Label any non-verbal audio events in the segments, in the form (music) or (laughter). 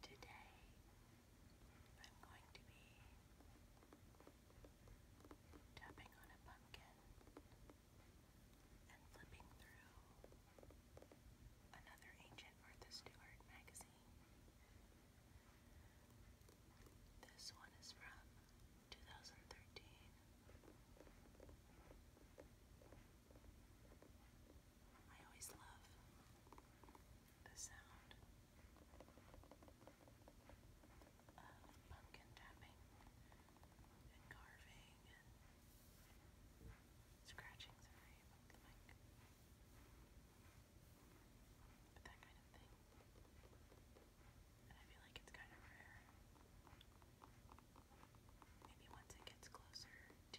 Today I'm going to be tapping on a pumpkin and flipping through another ancient Martha Stewart magazine. This one is from 2013. I always love the sound of pumpkin tapping and carving and scratching, sorry, the mic. But that kind of thing. And I feel like it's kind of rare. Maybe once it gets closer to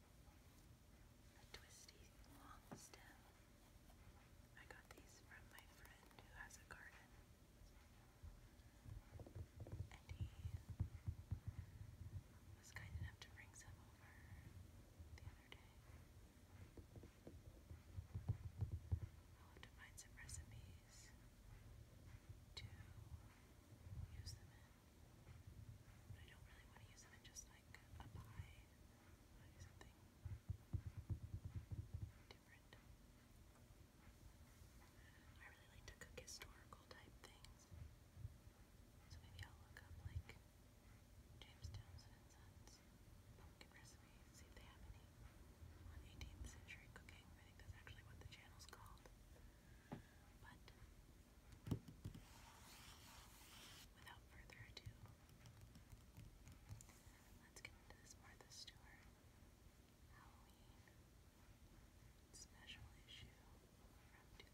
a twisty long stem. I got these from my friend who has a garden. And he was kind enough to bring some over the other day. I'll have to find some recipes to use them in. But I don't really want to use them in just like a pie something different. I really like to cook historical type things. So maybe I'll look up like James Townsend recipes, see if they have any 18th century cooking. I think that's actually what the channel's called. But Without further ado, let's get into this Martha Stewart Halloween special issue from 2013.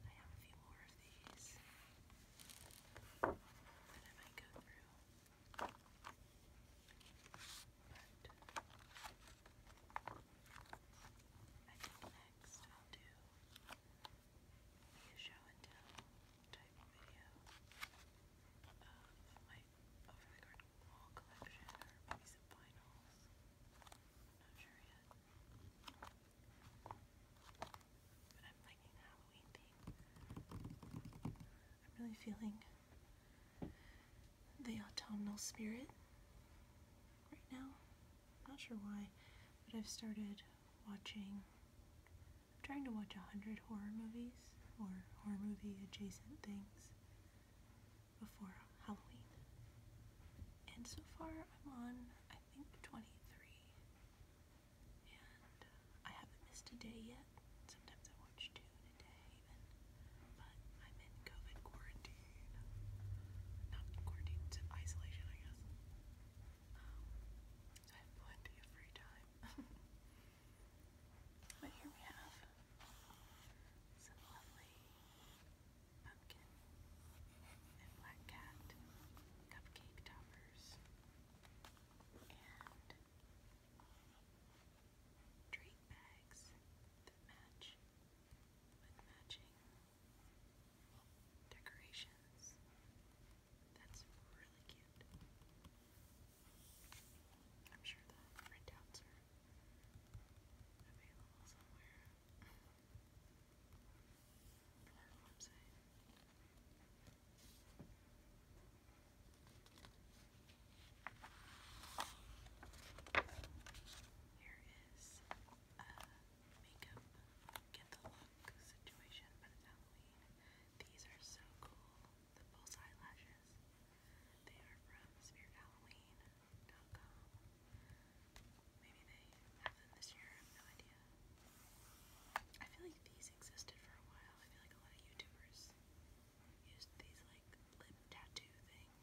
I have a few more of these that I might go through. I think next I'll do a show and tell type video of my over the garden wall collection or maybe some vinyls. not sure yet. But I'm liking the Halloween theme. I'm really feeling the autumnal spirit right now. not sure why, but I've started watching, trying to watch a hundred horror movies or horror movie adjacent things before Halloween. And so far I'm on, I think, 23. And I haven't missed a day yet. Sometimes I watch two the day But I'm in COVID quarantine. Not quarantine, isolation, I guess. so I have plenty of free time. but here we have some lovely pumpkin and black cat cupcake toppers drink bags that match with matching decorations. That's really cute. I'm sure the printouts are available somewhere on our website. Here is a makeup get the look situation, but it's Halloween. These are so cool. The Pulse eyelashes. They are from spiritHalloween.com. Maybe they have them this year, no idea. I feel like these existed for a while. I feel like a lot of YouTubers used these like lip tattoo things.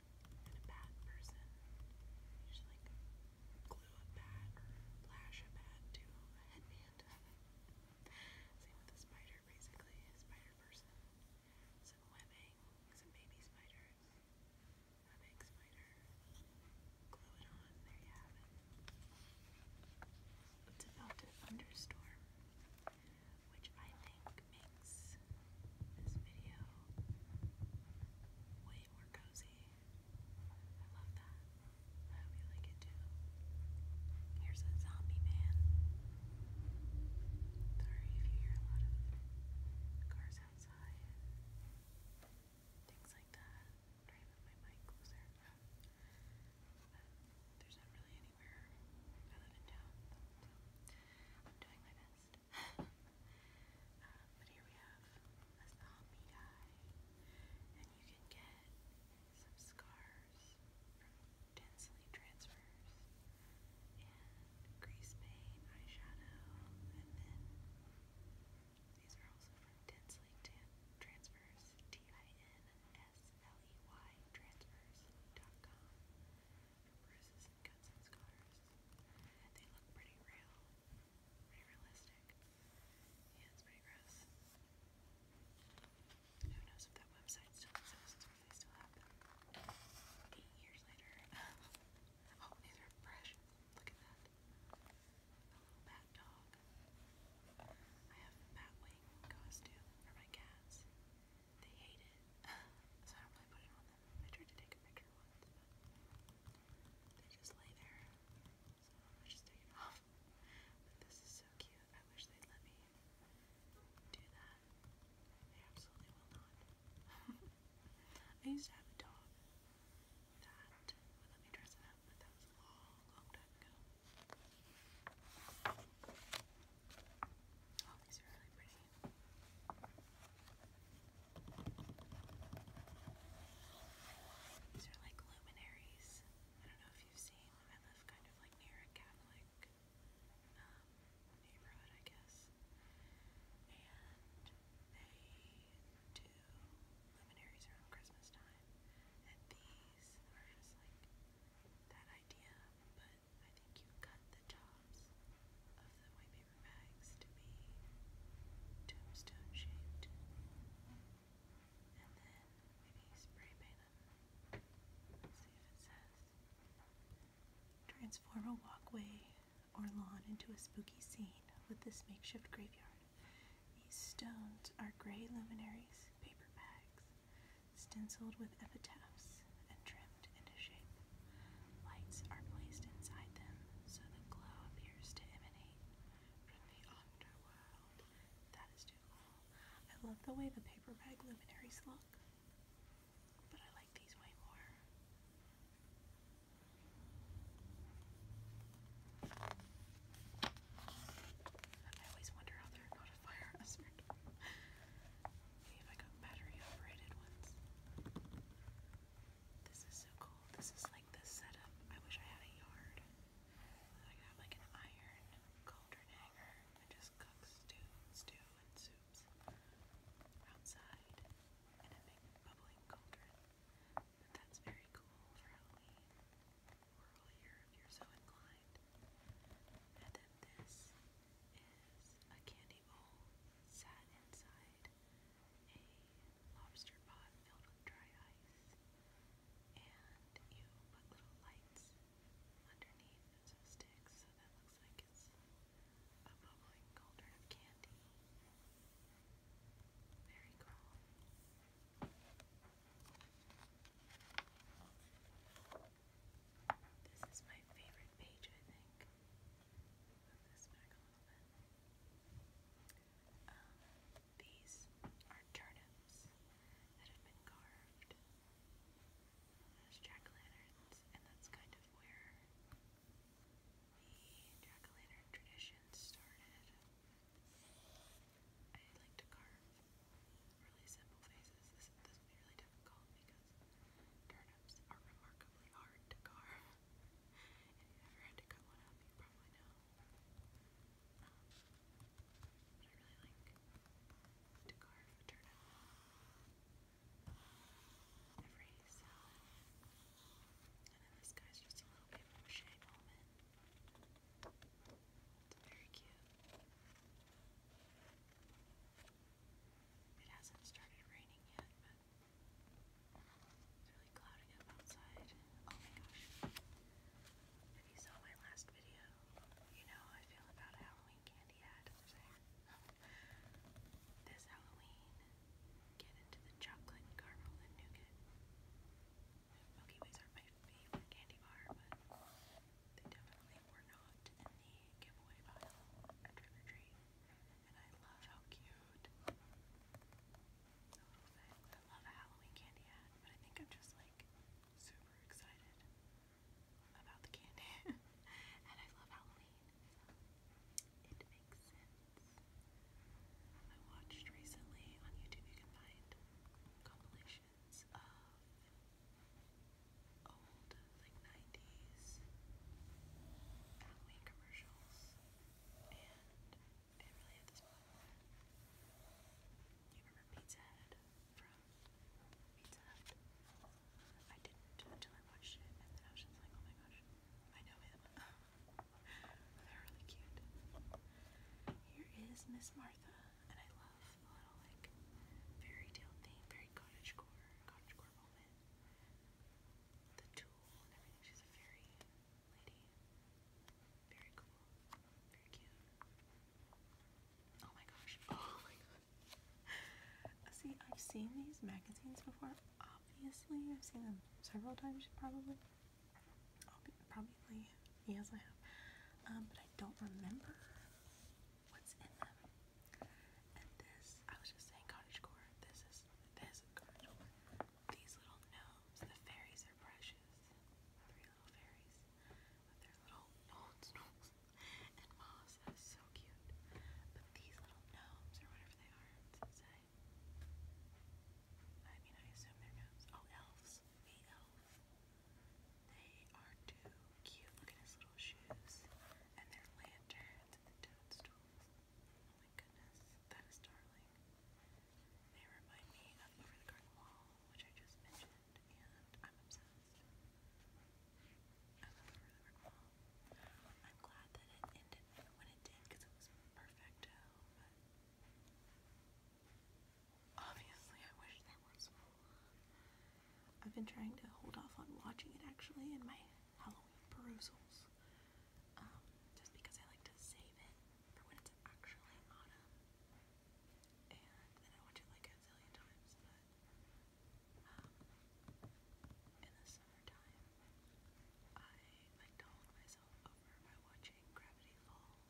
and a bad person. You glue a bat or lash a bat to a headband. (laughs) Same with a spider, basically. A spider person. Some webbing, some baby spiders. A big spider. Glue it on. There you have it. It's about to thunderstorm, which I think makes this video way more cozy. I love that. I hope you like it too. Here's a zombie man. Sorry if you hear a lot of cars outside things like that. I'm trying my mic closer. But there's not really anywhere. I live in town, so I'm doing my best um, but here we have a zombie guy, and you can get some scars from densely transfers and grease paint, eyeshadow, and then these are also from densely tan transfers, T-I-N-S-L-E-Y transfers.com bruises and cuts and scars. They look pretty real, pretty realistic. Yeah, it's pretty gross. Who knows if that website still exists or they still have them. Eight years later. (laughs) oh, these are fresh. Look at that. A little bat dog. I have a bat wing costume for my cats. They hate it. (laughs) so I don't really put it on them. I tried to take a picture once, they just lay there. So I just take off. But this is so cute. I wish they'd let me do that. They absolutely will not. (laughs) I used to have a dog that would let me dress it up, but that was a long, long time ago. Oh, are really pretty. These are like luminaries. I don't know if you've seen I live kind of like near a Catholic um, neighborhood, I guess. And they do luminaries around Christmas time. And these are just like that idea, but I think you cut the top of the white paper bags to be tombstone shaped. And then maybe spray paint them. see if it says. Transform a walkway or lawn into a spooky scene with this makeshift graveyard. These stones are gray luminaries, paper bags, stenciled with epitaphs, and trimmed into shape. Lights are placed inside them so the glow appears to emanate from the underworld. That is too cool. I love the way the paper bag luminaries look, but I like these way more. I always wonder how they not a fire hazard. (laughs) Maybe if I got battery operated ones. This is so cool. This is like the setup. I wish I had a yard. I have like an iron cauldron hanger and just cook stew, stew and soups outside in a big bubbling cauldron. that's very cool for Halloween or all year if you're so inclined. And then this is a candy bowl sat inside a lobster pot filled with dry ice, and you put little lights underneath and sticks so that looks like it's a bubbling cauldron of candy. Very calm. This is my favorite page, I think move um, these are turnips that have been carved as jack-o'-lanterns, and that's kind of where the jack-o'-lantern tradition started. I like to carve really simple faces. This, this would be really difficult because turnips are remarkably hard to carve. if you've ever had to cut one you probably know. Um, I really like to carve a Every salad. And then this guy's just a little bit mache moment. It's very cute. It hasn't started raining yet, but it's oh If you saw my last video, you know how I feel about Halloween candy (laughs) this Halloween, get into the chocolate caramel and nougat. Milky Ways are my favorite candy bar, but they definitely were not in the giveaway pile Trick or Treat and cute I love Halloween candy but I think I'm just like super excited about the candy, (laughs) and I love Halloween. It makes sense. I watched recently on YouTube. You can find compilations of old like 90s Halloween commercials, and it really hit the You remember Pizza Head from Pizza I didn't until I watched it, and then I was just like, oh my gosh, I know him. (laughs) They're really cute. Here is Miss Martha, and I love the little like fairy tale theme, very cottagecore, cottagecore moment the tool and everything. She's a fairy lady. Very cool. Very cute. Oh my gosh. (laughs) Oh my god. See, I've seen these magazines before. Obviously, I've seen them several times, probably. Probably, yes, I have. Um, but I don't remember what's in them. And this, I was just saying cottagecore. This is this is cottagecore. These little gnomes, the fairies are precious. Three little fairies with their little nose and moss. That is so cute. But these little gnomes or whatever they are, does it say? I mean, I assume they're gnomes. Oh, elves. The elf. They are too cute. Look at his little shoes and their lanterns and the toadstools. Oh my goodness, that is darling. They remind me of Over the Garden Wall, which I just mentioned, and I'm obsessed. I love Over the Garden Wall. I'm glad that it ended when it did, because it was perfecto, obviously I wish there was more. I've been trying to hold off on watching it actually in my Halloween perusals um, just because I like to save it for when it's actually autumn. And I watch it like a zillion times, but um, in the summertime, I like myself over by watching Gravity Falls,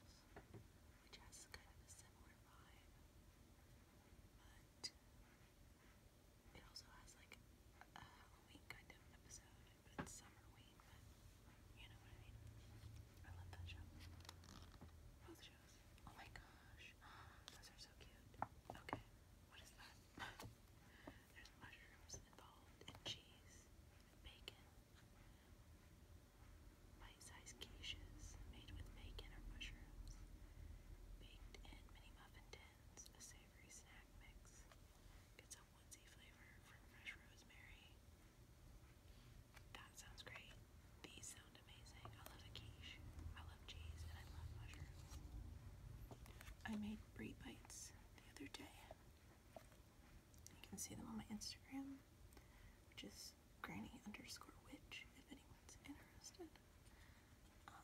which has kind of a similar vibe. It also has like a Halloween kind of episode, but it's summerween, but you know what I mean. I love that show. Both shows. Oh my gosh. (gasps) Those are so cute. Okay, what is that? (laughs) There's mushrooms involved and cheese bacon. Bite-sized quiches made with bacon or mushrooms. Baked in mini muffin tins. That sounds great. These sound amazing. I love a I love cheese and I love mushrooms. I made brie bites the other day. You can see them on my Instagram, which is granny underscore witch if anyone's interested. Um,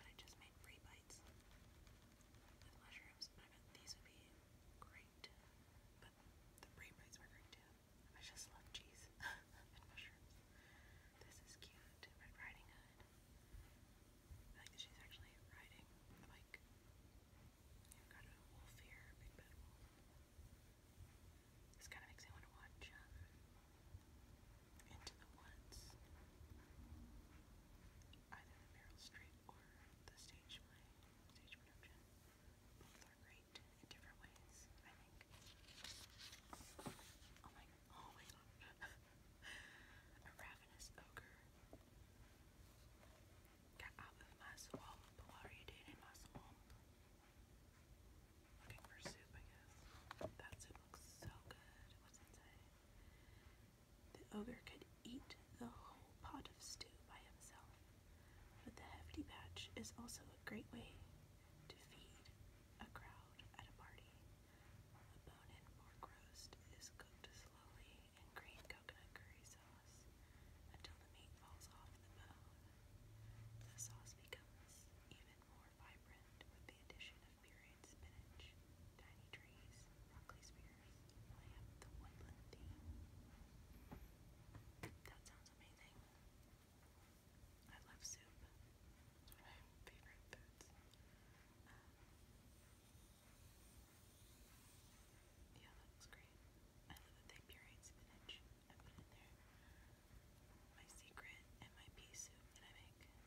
but I just made free bites with mushrooms, but I bet these would be great. But the free bites were great too. I just love cheese (laughs) and mushrooms. This is cute. Red Riding Hood. like she's actually riding a bike. You've got a wolf here, big bad wolf. This kind of makes me want to watch um, into the woods, either the Meryl Street or the stage play, stage Both are great in different ways, I think. Oh my, oh my god. (laughs) A ravenous ogre. Get out of my swamp. What are you doing in my swamp? Looking for soup, I guess. That soup looks so good. What's inside? The ogre could eat the whole pot of stew by himself, but the hefty batch is also a great way to feed a crowd at a party. A bone-in pork roast is cooked slowly in green coconut curry sauce until the meat falls off the bone. The sauce becomes even even more vibrant with the addition of pureed spinach, tiny trees, broccoli spears, lamp, the woodland theme. That sounds amazing. I love soup. It's one of my favorite foods. Um, yeah, that looks great. I love that they pureed spinach. I put in there my secret and my pea soup that I make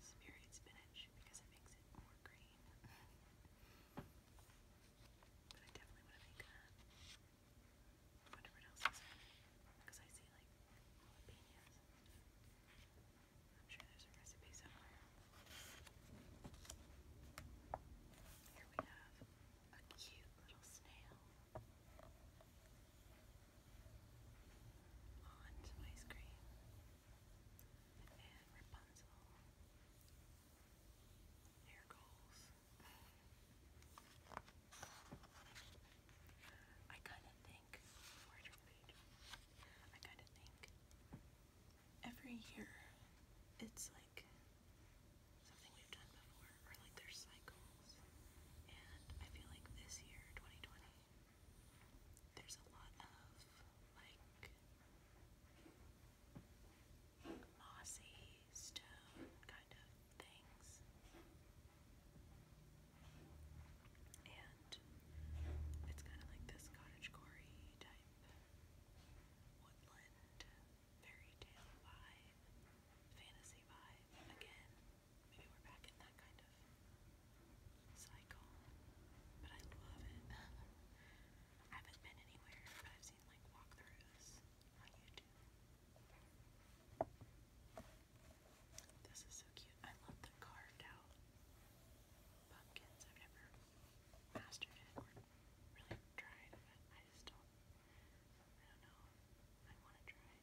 is varied spinach because it makes it more green. but I definitely want to make that. Whatever else is in it. Because I see like jalapenos. I'm sure there's a recipe somewhere. Here we have a cute little snail onto my screen. And Rapunzel. Hair goals. I kind of think, I kind of think every year it's like something we've done before, or like there's cycles. And I feel like this year, 2020, there's a lot of like mossy stone kind of things. And it's kind of like this cottage type woodland fairy tale vibe, fantasy vibe again. Maybe we're back in that kind of cycle. But I love it. (laughs) I haven't been anywhere, I've seen like walkthroughs on YouTube. This is so cute. I love the carved out pumpkins. I've never mastered it or really tried, but I just don't. I don't know. I want to try, but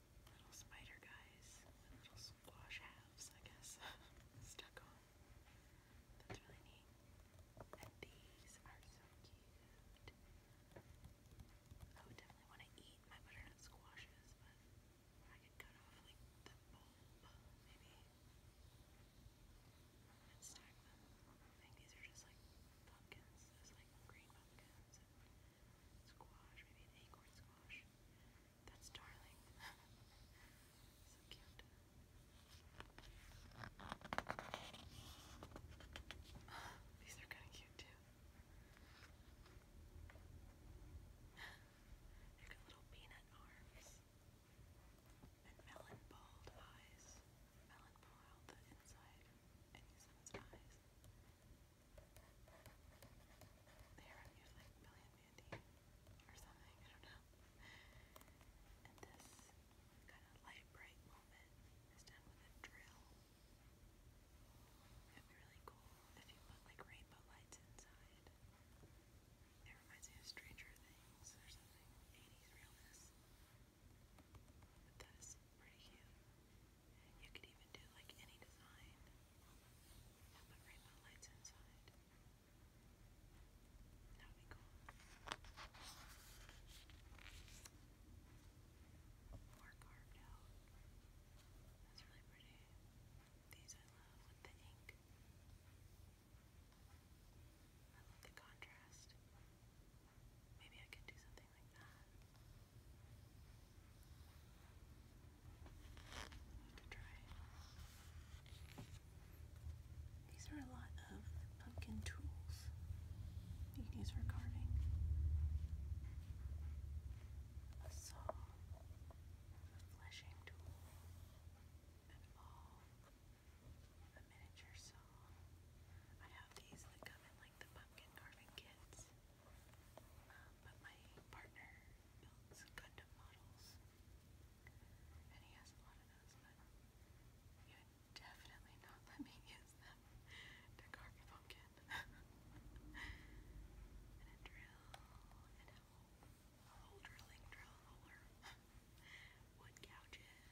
little spider guys, little squash halves, I guess, (laughs) stuck on. That's really neat. And these are so cute. I would definitely want to eat my butternut squashes, but I could cut off like the bulb, maybe, and stack them. I think these are just like pumpkins, those like green pumpkins and squash, maybe an acorn squash. That's darling. (laughs) so cute. (sighs) These are kind of cute too. (sighs) they little peanut arms and melon bald eyes. Melon pull inside and use eyes. They were use like million Mandy or something, I don't know. And this kind of light bright moment is done with a drill. It'd be really cool if you put like rainbow lights inside. It reminds me of Stranger Things or something. 80s realness. But that is pretty cute. You could even do like any design and put rainbow lights inside. That would be cool. More carved out. That's really pretty. These I love with the ink. I love the contrast. Maybe I could do something like that. You These are a lot of pumpkin tools you can use for carving. A saw, a fleshing tool, an awl, a miniature saw. I have these that come in like the pumpkin carving kits. Um, but my partner builds Gundam models, and he has a lot of those, he would definitely not let me (laughs) use them to carve pumpkin. (laughs) and a drill, and a whole, a drilling drill holder, (laughs) wood couches,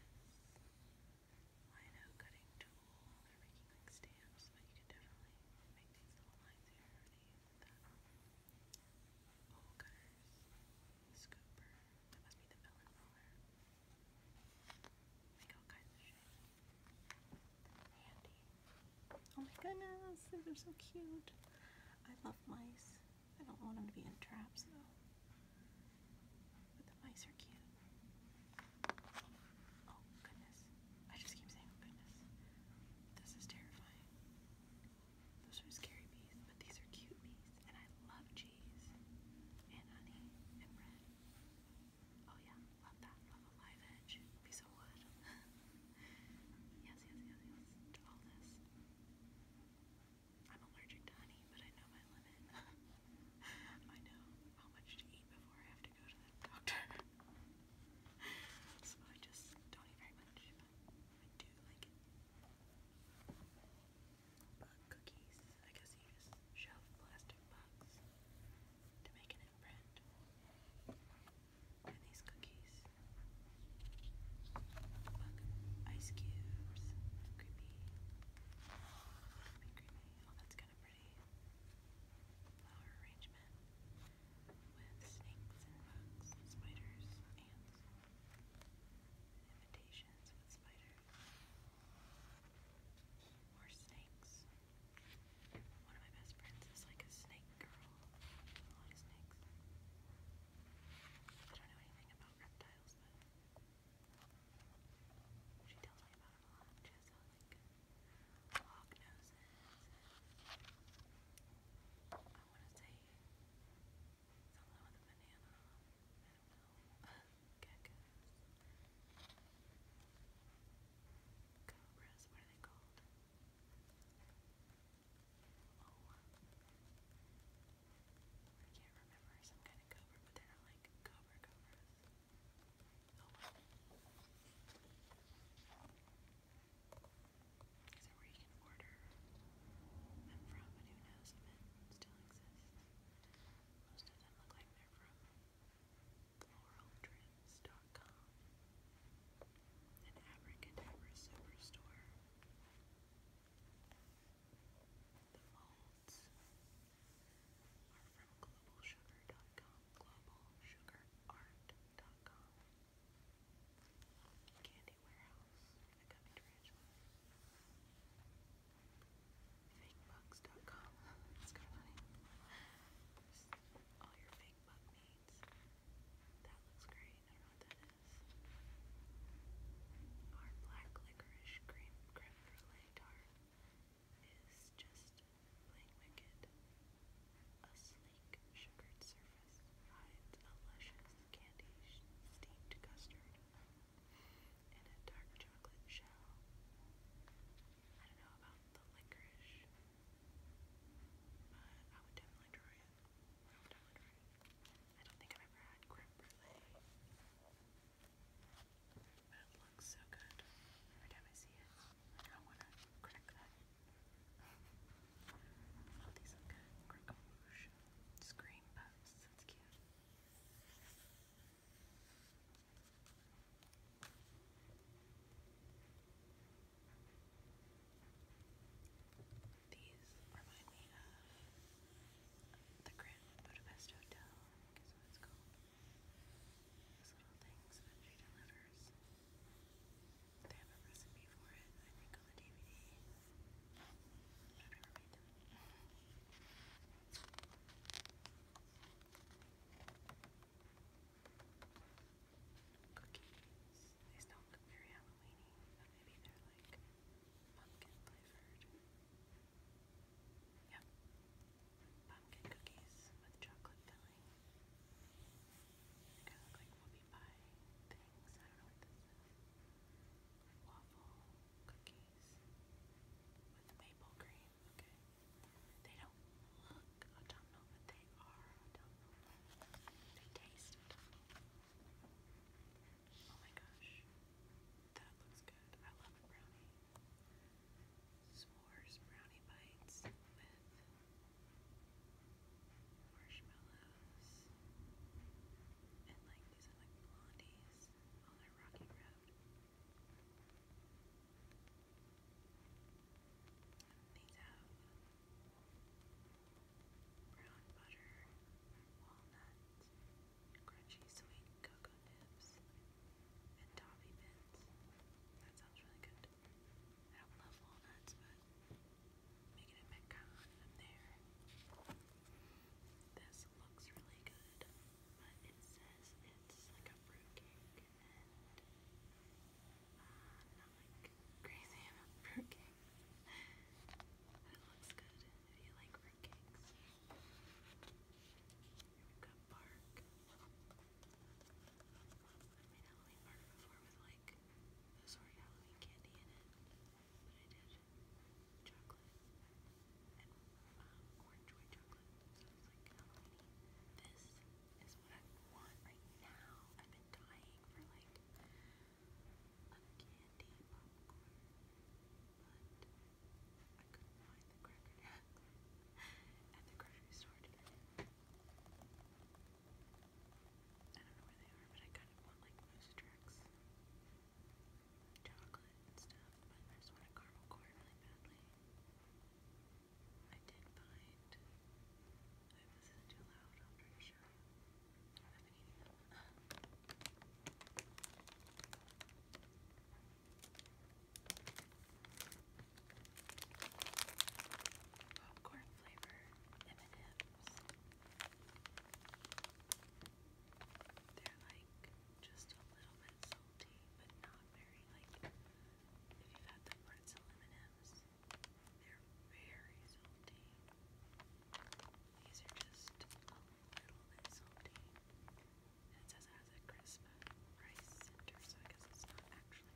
lino cutting tool, making like stamps, but you can definitely make these little lines here these that. Bowl cutters, scooper, that must be the melon roller. Make all kinds of shapes. Handy. Oh my goodness, these are so cute. I love mice. I don't want them to be in traps though. But the mice are cute. Oh goodness. I just keep saying oh goodness. This is terrifying. Those are scary bees, but these are cute bees. And I love cheese and honey and bread. Oh yeah, love that. Love a live edge. Piece of wood. yes, yes, yes, yes. To all this. I'm allergic to honey, but I know my limit. (laughs) I know how much to eat before I have to (laughs) so I just don't eat very much, I do like cookies. I guess you just shove plastic bugs to make an imprint. And these cookies. ice cubes. Creepy. Creepy, creepy. Oh, that's good kind of flower arrangement with snakes and bugs spiders, ants, imitations with spiders, more snakes. One of my best friends is like a snake girl. A lot of snakes. I don't know anything about reptiles, but she tells me about them a lot like log I want to say someone with a banana. I Cobras, what are they called? I can't remember. Some kind of cobra, but they're like cobra cobras. Is it where you can order them from, but who knows if it still exists? Most of them look like they're from floraltrims.com, an abracadabra superstore. The molds are from globalsugar.com, globalsugarart.com, Candy Warehouse, the Gummy Tarantula, fakebugs.com, all your fake needs, that looks great, I don't know what that is, our black licorice cream creme brulee tart, is just plain wicked. A sleek, sugared surface hides a luscious, candy steeped custard in a dark chocolate shell. I don't know about the licorice, but I would definitely try it. I don't think I've ever had creme brulee looks so good. Every time I see it, I want to crack that. All these look good. Scream Pups. That's cute. These remind me of the Grand Budapest Hotel, I guess what it's called. These little things that she delivers. They have a recipe for it, I think, on the DVD. Cookies. These don't look very Halloweeny, maybe they're like pumpkin flavored. Yeah pumpkin cookies with chocolate filling. They kind of look like whoopie pie things. I don't know what this is. Waffle cookies with maple cream. Okay. They don't look autumnal, but they are autumnal. They taste Oh my gosh. That looks good. I love a brownie s'mores brownie bites with marshmallows and like these are like blondies on their rocky road. These have brown butter, walnut, crunchy sweet cocoa nibs, and toffee bits. That sounds really good. I don't love walnuts, but making a pecan in there. This looks really good, but it says it's like a fruit cake uh, not like crazy about (laughs) fruit cake. but it looks good if you like fruit cakes. We've got I made Halloween party before with like the sort of Halloween candy in it, but I did chocolate and um, orange white chocolate, so it's like Halloween. This is what I want right now. I've been dying for like a candy popcorn, but I couldn't find the cracker (laughs) at the grocery store I don't know where they are, but I kind of want like moose chocolate stuff, but I just want a caramel corn really badly. I did find, I wasn't too loud, i Popcorn flavor M&M's. They're like just a little bit salty, but not very like if you've had the pretzel M&M's. They're very salty. These are just a little bit salty. it says it has a crisp rice center, so I guess it's not actually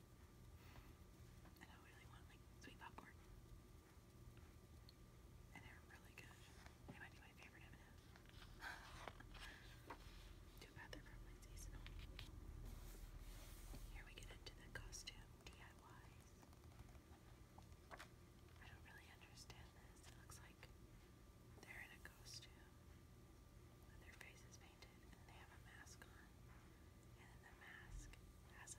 And I really want like sweet popcorn. And they're really good. They might be my favorite M&M's. (sighs) Too bad they're seasonal. Here we get into the costume DIYs. I don't really understand this. It looks like they're in a costume and their face painted and they have a mask on. And the mask has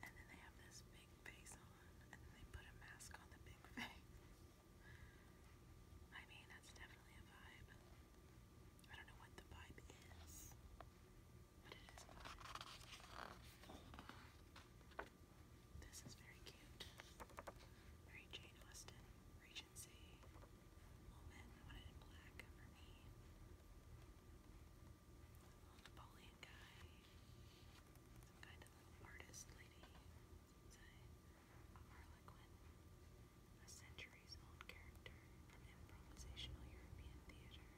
and then they have this big face on, and then they put a mask on the big (laughs) face. I mean, that's definitely a vibe. I don't know what the vibe is, but it is This is very cute. Very Jane Austen, Regency moment. I in black for me little Napoleon guy, some kind of little artist lady, it's a, a Harlequin, a centuries old character from improvisational European theater,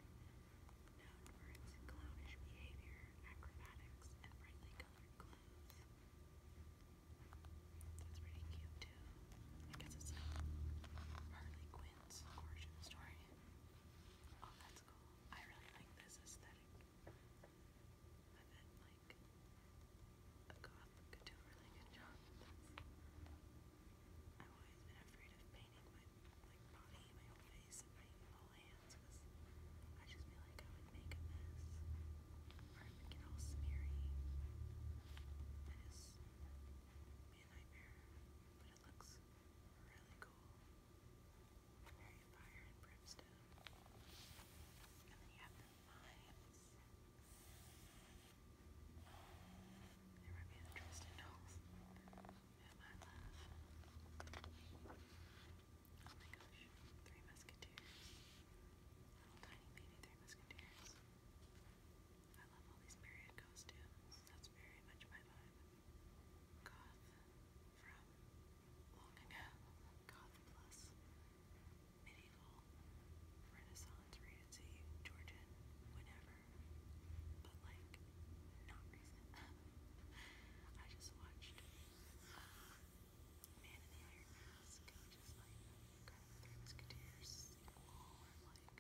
known for its clownish behavior, acrobatics, and brightly colored clothes. That's pretty cute too. I guess it's not Harley Quinn's origin story. Oh, that's cool. I really like this aesthetic. I bet, like, a goth could do a really good job I've always been afraid of painting my, like, body, my whole face, my whole hands, because I just feel like I would make a mess. Or I would get all smeary. That is a nightmare but it looks really cool. Very fire and brimstone. And then you have the mines. There might be the dolls. And my love. Oh my gosh. Three Musketeers. Little tiny baby Three Musketeers. I love all these myriad costumes. That's very much my vibe goth from long ago, goth plus medieval, renaissance, regency, Georgian, whenever, but like not recent. I just watched Man in the Iron Mask, which like kind of Three Musketeers sequel or like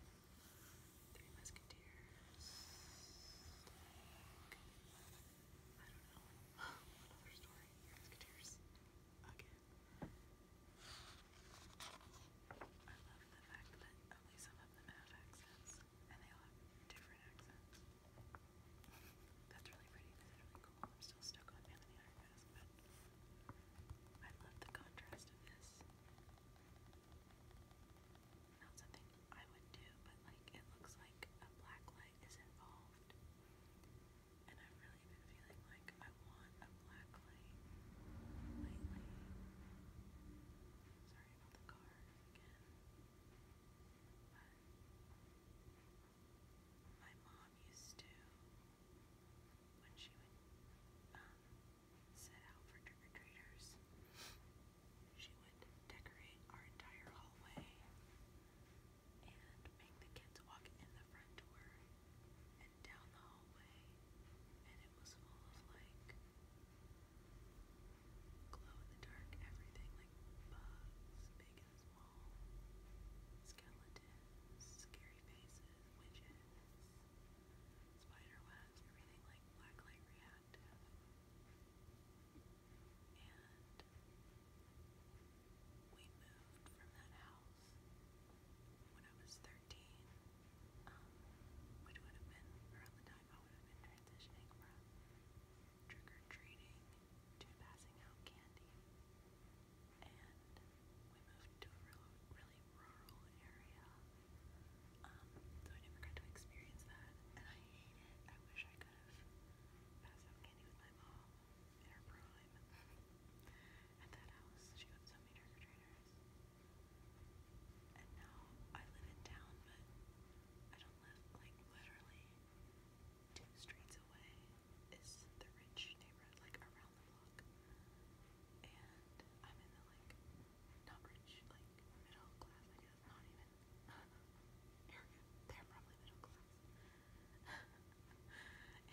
Three Musketeers. I don't know. What (gasps) other story? Musketeers. Again. I love the fact that only some of them have accents, and they all have different accents. That's really pretty. That's really cool. I'm still stuck on Man in but I love the contrast of this not something I would do, but like it looks like a black light is involved. And I've really been feeling like I want a black light lately. Sorry about the car again. my mom used to, when she would um, set out for trick-or-treaters. She would decorate our entire hallway and make the kids walk in the front door and down the hallway, and it was full of like glow in the dark everything, like bugs, big and small, skeletons, scary faces, witches, spider webs, everything like blacklight reality that. And we moved from that house when I was 13, which would have been around the time I would have been transitioning from trick or to passing out candy. And we moved to a really rural area um, so I never got to experience that, and I hate it. I wish I could have passed out candy with my mom in her prime at that house. She got so many trick or And now I live in town, but I don't live like literally two streets away is the rich neighborhood, like around the block. And I'm in the like not rich, like middle class, I not even uh, (laughs) They're probably middle class. (laughs)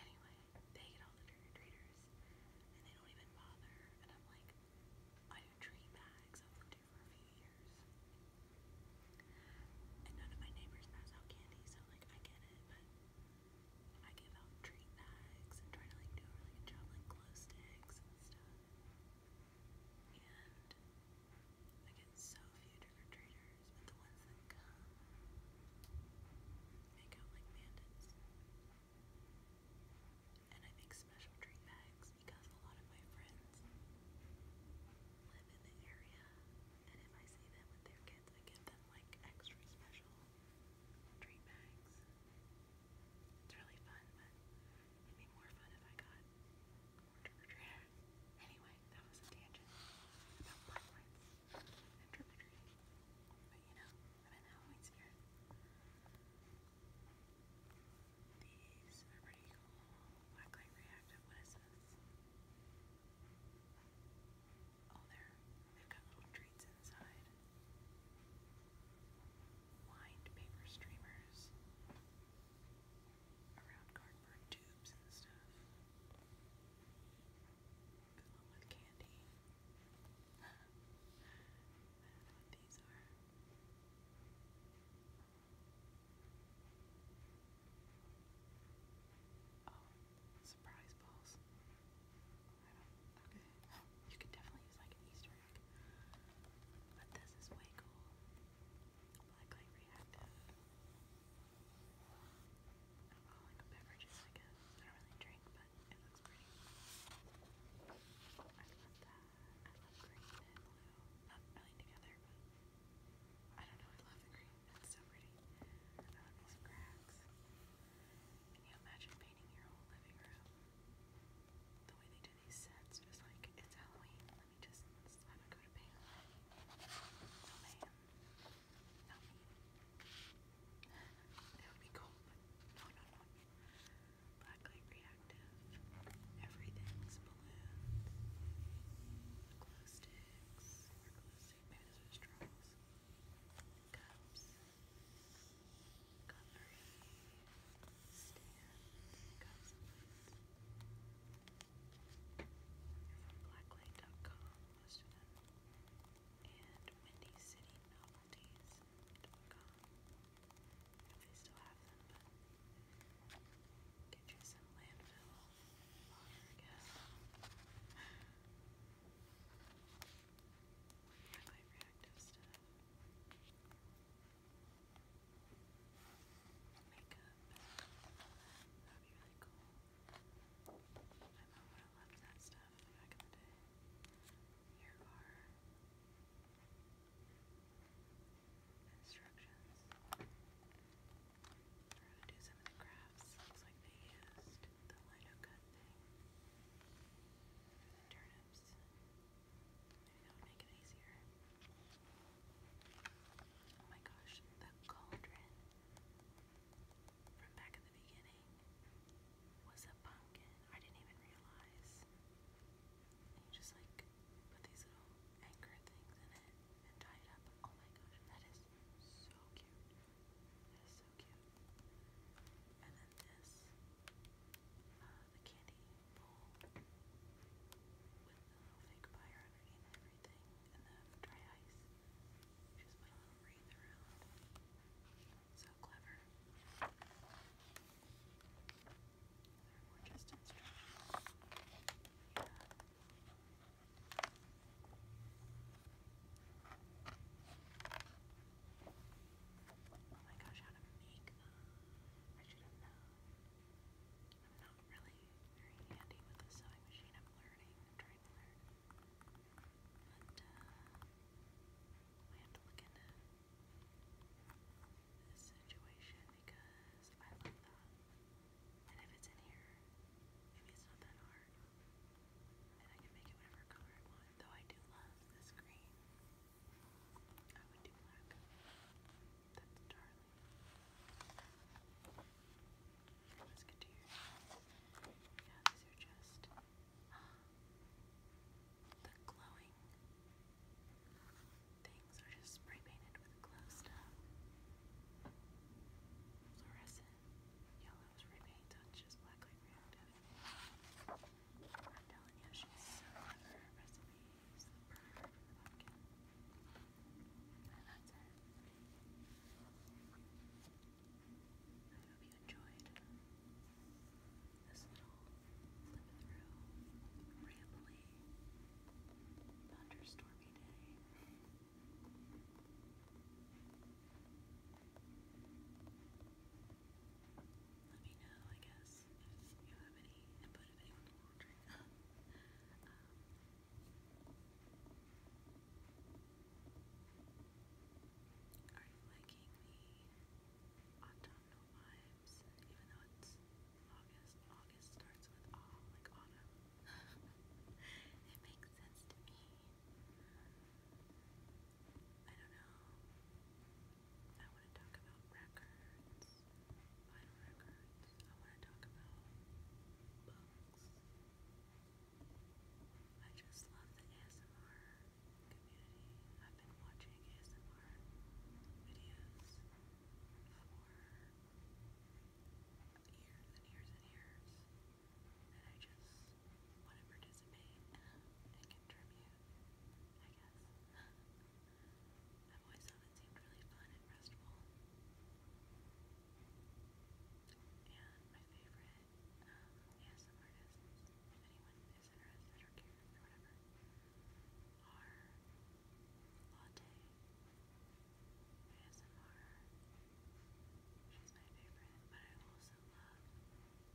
anyway, they get all the treaters and they don't even bother, and I'm like, I do tree bags, I've lived here for a few years. And none of my neighbors pass out candy, so like, I get it, but I give out treat bags and try to like do a really like glow sticks and stuff. And I get so few trick-or-treaters, but the ones that come make out like bandits. And I make special treat bags because a lot of my friends live in the area, and if I see them with their kids, I give them like extra special treat bags. It's really fun, but it'd be more fun if I got more trick-or-treater. Anyway, that was a tangent about black and trick-or-treating. But you know, I'm in Halloween spirit. These are pretty cool. Blacklight reactive. What is this? Oh, they they've got little treats inside lined paper streamers around cardboard tubes and stuff, along with candy. I don't know what these are. Oh, surprise balls. Okay. You could definitely use like an Easter egg. But this is way cool. Blacklight reactive. Alcoholic beverages, I guess. I don't really drink, but it looks pretty. I love that. I love green and blue. Not really together, but I don't know. I love the green. It's so pretty. I love these cracks. Can you imagine painting your whole living room? the way they do these sets is like, it's Halloween, let me just slap a coat of paint on man. Not would be cool, no, no, no. Blacklight reactive. Everything's balloons. Glow sticks. glow sticks. Maybe straws. Cups covering stand from blacklight.com, and windycitynovelties.com if they still have them, get you some landfill I guess. I reactive stuff makeup. That'd be really cool. My mom would loved that stuff back in the day. Here are instructions for how to do some crafts. Looks like they used the lino cut thing for the turnips. Maybe Oh my gosh, the cauldron from back at the beginning was a pumpkin. I didn't even realize. And you just like put these little anchor things in it and tie it up. Oh my gosh, that is so cute. That is so cute. And then this, uh, the candy bowl with the little fake fire underneath everything and the dry ice. Just put a little wreath around. So clever. There were just instructions. Oh my gosh, how to make them. I should have I'm not really very handy with the sewing machine. I'm learning. trying to learn. But, uh, I have to look into this situation because I love that. And if it's in here, maybe it's not that hard. And I can make it whatever color I want. Though I do love this green. I would do black. That's darling. Let's get to your Yeah, these are just the glowing things are just spray painted glow stuff. Fluorescent yellow spray paint, just black light reactive. I'm telling you, she's so clever. Her recipes, the primer from I hope you enjoyed this little through rambly thunderstormy day let me know, I guess, if you have any input, if anyone's wondering. Um, are you liking the autumnal vibes, even though August? August starts with all like autumn. (laughs) it makes sense to me. I don't know. I want to talk about records, vinyl records. I want to talk about books. I just love the ASMR community. I've been watching ASMR videos for years and years and years, and I just want to participate and contribute, I guess. I've always seemed really fun and restful. And my favorite um, ASM if anyone is interested or cares or whatever, are Latte, ASMR, she's my favorite, but I also love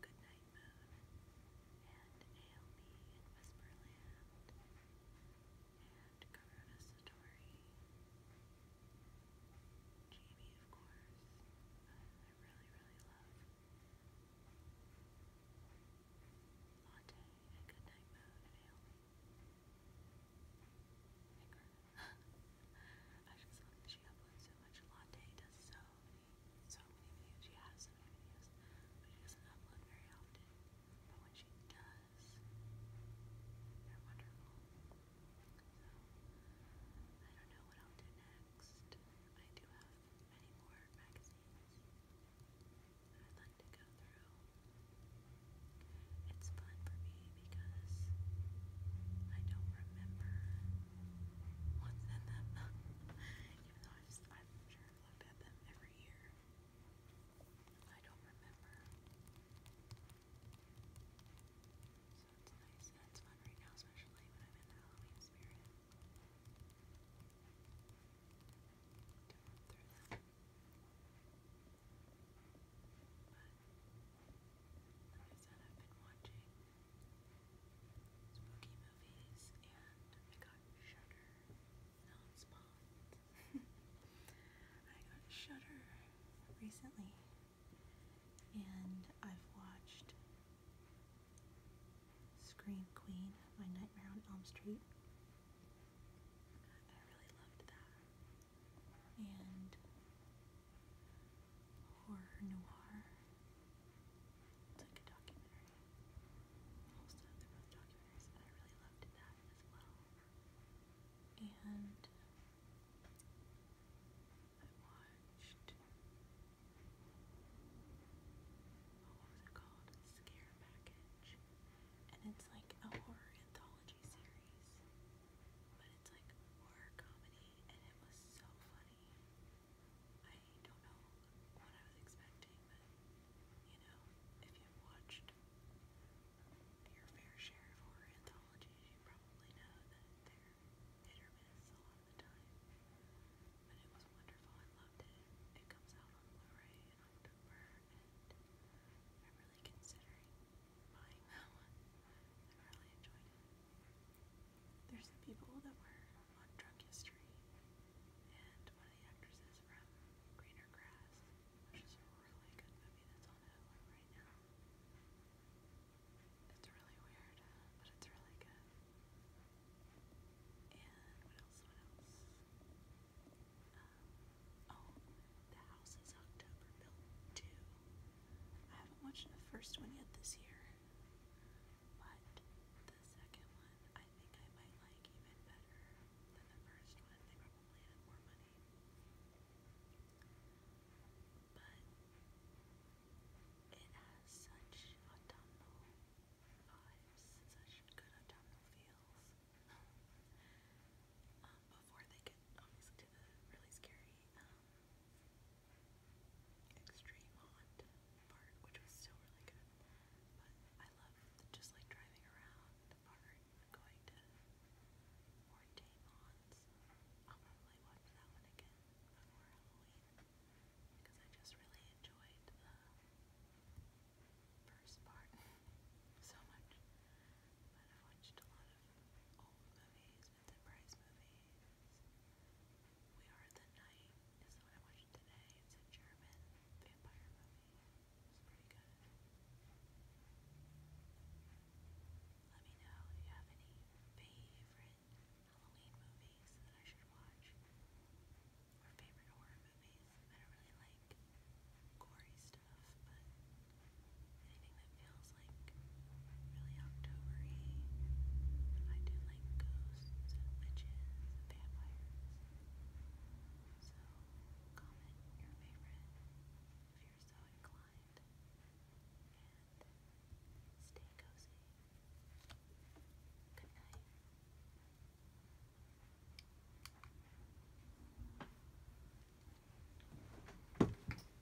Goodnight. Morning Moon, and Ail Me in Whisperland, and Karuna Satori, Jamie, of course, I, really, really love. Latte and Goodnight Moon and Ail I just love that she uploads so much. Latte does so many so many views. She has so many videos, but she doesn't upload very often. But when she does, they're wonderful. So, I don't know what I'll do next. I do have many more magazines I'd like to go through. It's fun for me because I don't remember (laughs) what's in them even though i am sure I've looked at them every year. I don't remember. So it's nice it's fun right now, especially when I'm in the Halloween spirit. through them. But like I said, I've been watching spooky movies, and I got Shudder, not spawned. (laughs) I got Shudder recently, and I've watched Scream Queen, My Nightmare on Elm Street. I really loved that. And Horror Noir. It's like a documentary. Most of documentaries, and I really loved that as well. And I watched. Oh, what was it called? Scare Package. And it's like a horror anthology series. But it's like horror comedy and it was so funny. I don't know what I was expecting, but you know, if you've watched your fair share of horror anthologies, you probably know that they're hit or miss a lot of the time. But it was wonderful, I loved it. It comes out on Blu-ray in October, and I'm really considering buying that one. I really enjoyed it. There's the people that were on Drunk History, and one of the actresses from Greener Grass, which is a really good movie that's on Hulu right now. It's really weird, but it's really good. And what else? What else? Um, oh, The House is October 2. I haven't watched the first one yet this year but the second one I think I might like even better than the first one. They probably had more money. But it has such autumnal vibes, such good autumnal feels. Um, before they get obviously to the really scary um, extreme hot part, which was still really good. But I love just like driving around the park, going to Ornate Lawns. I'll probably watch that one again before Halloween because I just really enjoyed the first part (laughs) so much. But I've watched a lot of old movies, Vincent Price movies, we Are the Night is the one I watched today. It's a German vampire movie. It's pretty good. Let me know if you have any favorite Halloween movies that I should watch. Or favorite horror movies. I don't really like gory stuff, but anything that feels like really Octobery. I do like ghosts ghosts, So comment your favorite you're so inclined. And stay cozy. Good night.